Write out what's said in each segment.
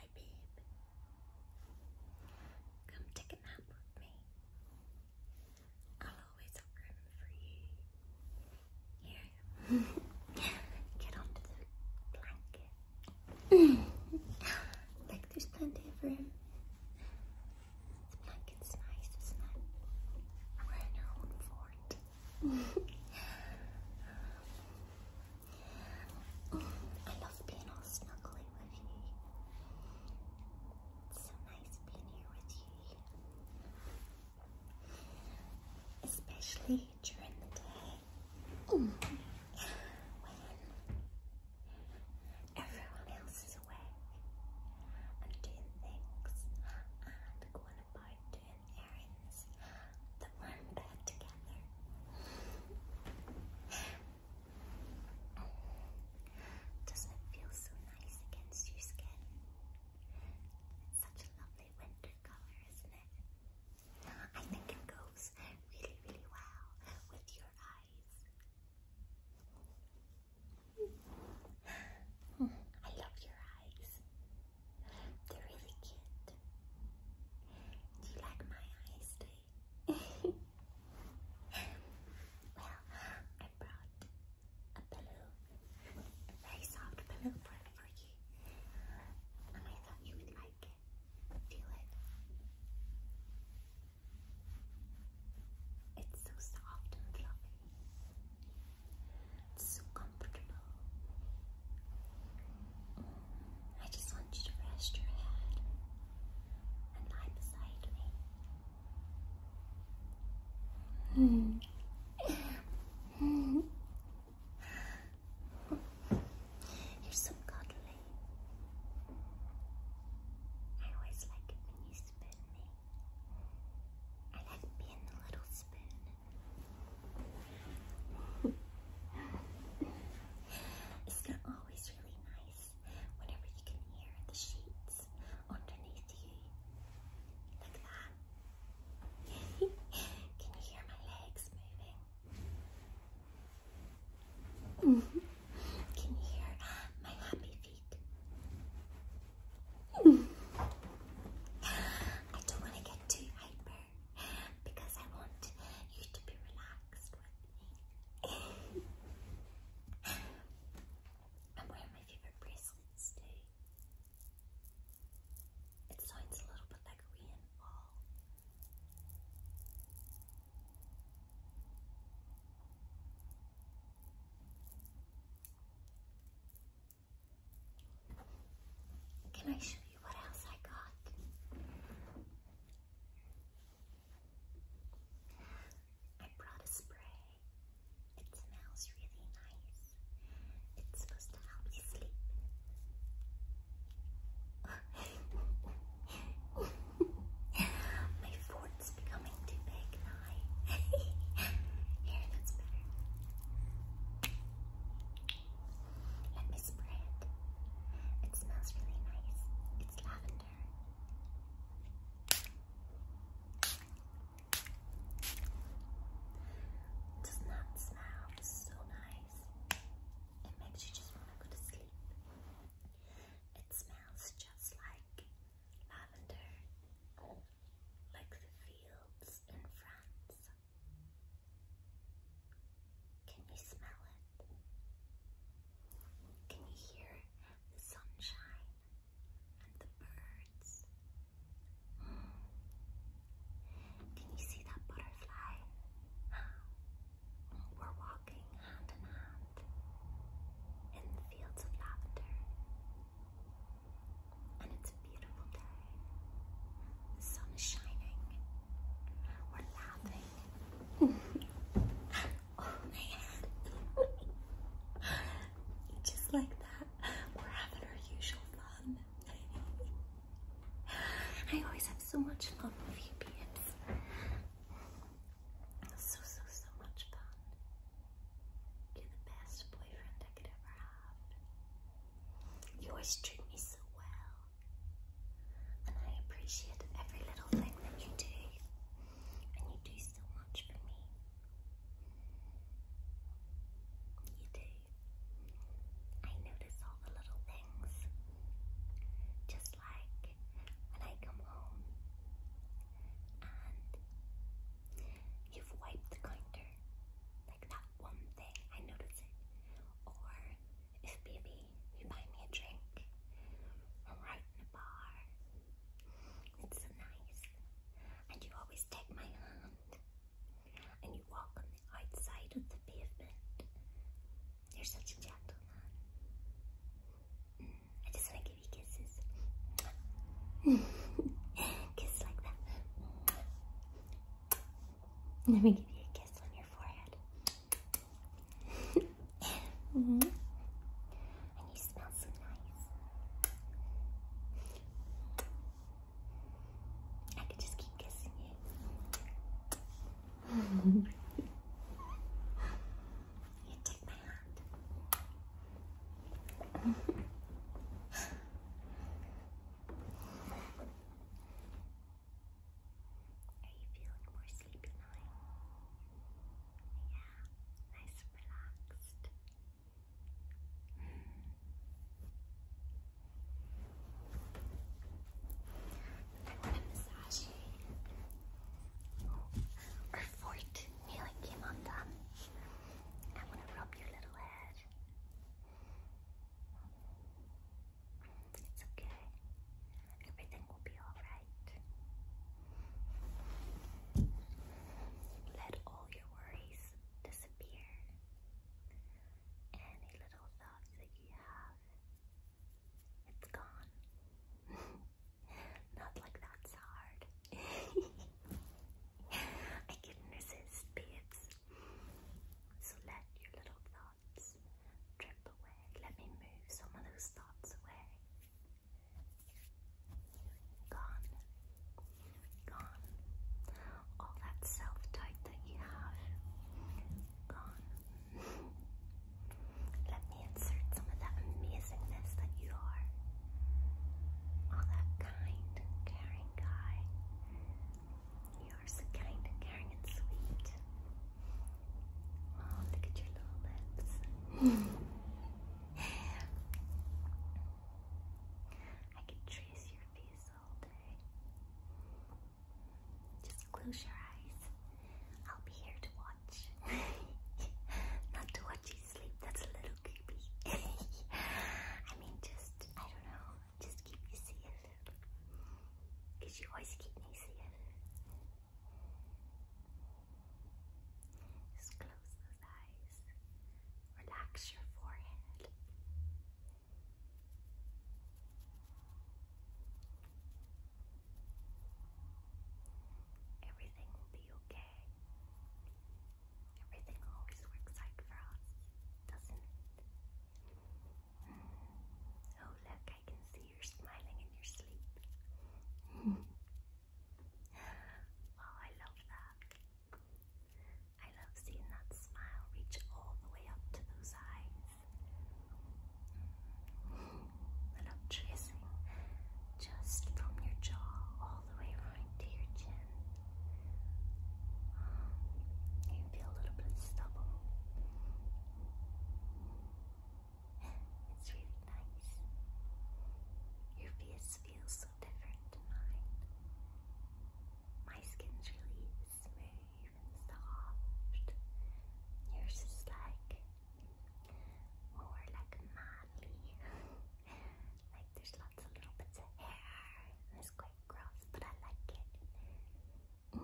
Hi, babe. Come take a nap with me. I'll always have for you. Here. Get onto the blanket. like there's plenty of room. The blanket's nice, isn't it? We're in our own fort. I love being all snuggly with you. It's so nice being here with you. Especially during the day. When everyone else is awake and doing things and going about doing errands friends that were together. Doesn't it feel so nice against your skin? such a lovely winter color, isn't it? I think it goes really, really well with your eyes. I love your eyes. They're really cute. Do you like my iced tea? well, I brought a pillow, a very soft pillow for, for you, and I thought you would like it. Feel it. It's so soft and fluffy. so comfortable. I just want you to rest your head and lie beside me. You're so cuddly. I always like it when you spin me. I like being the little spoon. it's not always really nice whenever you can hear the sheets underneath you like that. can you hear my legs moving? Can you hear my happy feet? I don't want to get too hyper because I want you to be relaxed. I'm wearing my favorite bracelets today. It sounds a little bit like rainfall. Can I show you what else I got? I brought a spray. It smells really nice. It's supposed to help you sleep. My fort's becoming too big Here, that's better. Let me spray it. smells really nice. It's lavender. does not smell so nice. It makes you just want to go to sleep. It smells just like lavender, like the fields in France. Can you smell it? Can you hear the sunshine and the birds? Can you see that butterfly? We're walking hand in hand in the fields of lavender. And it's a beautiful day. The sun is shining. We're laughing just like that, we're having our usual fun. I always have so much fun with you, babes. So, so, so much fun. You're the best boyfriend I could ever have. You always treat me so well. And I appreciate every little thing that you do. And you do so much for me. You do. I notice all the little things. Just like when I come home and you've wiped the counter. Like that one thing, I notice it. Or is Bibby. You buy me a drink. We're right in the bar. It's so nice. And you always take my hand. And you walk on the outside of the pavement. You're such a gentleman. Mm, I just want to give you kisses. kiss like that. Let me give you a kiss on your forehead mm And you smell so nice. I could just keep kissing you. you took my hand. Are you feeling more sleepy now? Yeah, nice and relaxed. I want to massage you. Oh, our fort nearly came undone. I want to rub your little head. It's okay. Everything will be alright. Let all your worries disappear. Any little thoughts that you have, it's gone. Not like that's hard. I can resist, babes. So let your little thoughts drip away. Let me move some of those thoughts away. Gone. Gone. All that self doubt that you have. Gone. Let me insert some of that amazingness that you are. All that kind, caring guy. You are so kind caring and sweet. Oh, look at your little lips. I could trace your face all day. Just close your eyes. I'll be here to watch. Not to watch you sleep, that's a little creepy. I mean, just, I don't know, just keep you safe. Because you always keep me safe. Just close those eyes. Relax your forehead. Everything will be okay. Everything always works out for us, doesn't it? Mm. Oh, look, I can see you're smiling in your sleep. oh, I love that. I love seeing that smile reach all the way up to those eyes. I love tracing just from your jaw all the way right to your chin. You feel a little bit of stubble it's really nice. Your face feels so different tonight. My skin's really smooth and soft. Yours is like more like manly. like there's lots of little bits of hair. It's quite gross, but I like it put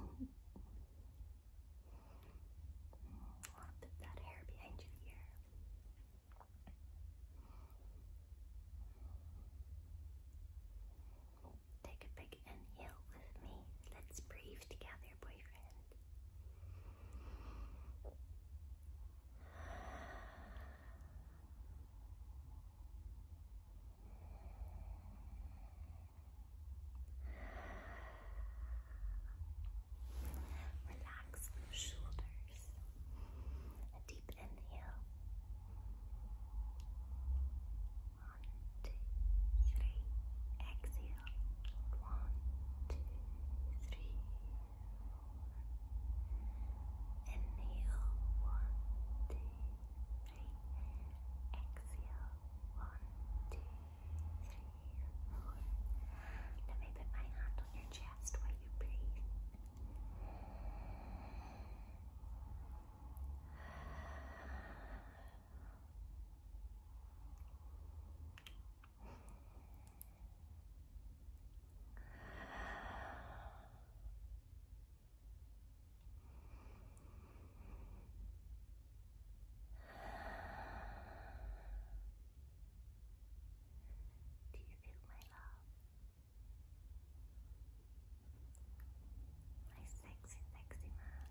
that hair behind your ear. Take a big inhale with me. Let's breathe together, boyfriend. Relax the shoulders. A deep inhale. One, two, three. Exhale. One, two, three. Four. Inhale. One, two, three. Exhale. One, two, let me put my hand on your chest while you breathe. Do you feel my love? My sexy, sexy man.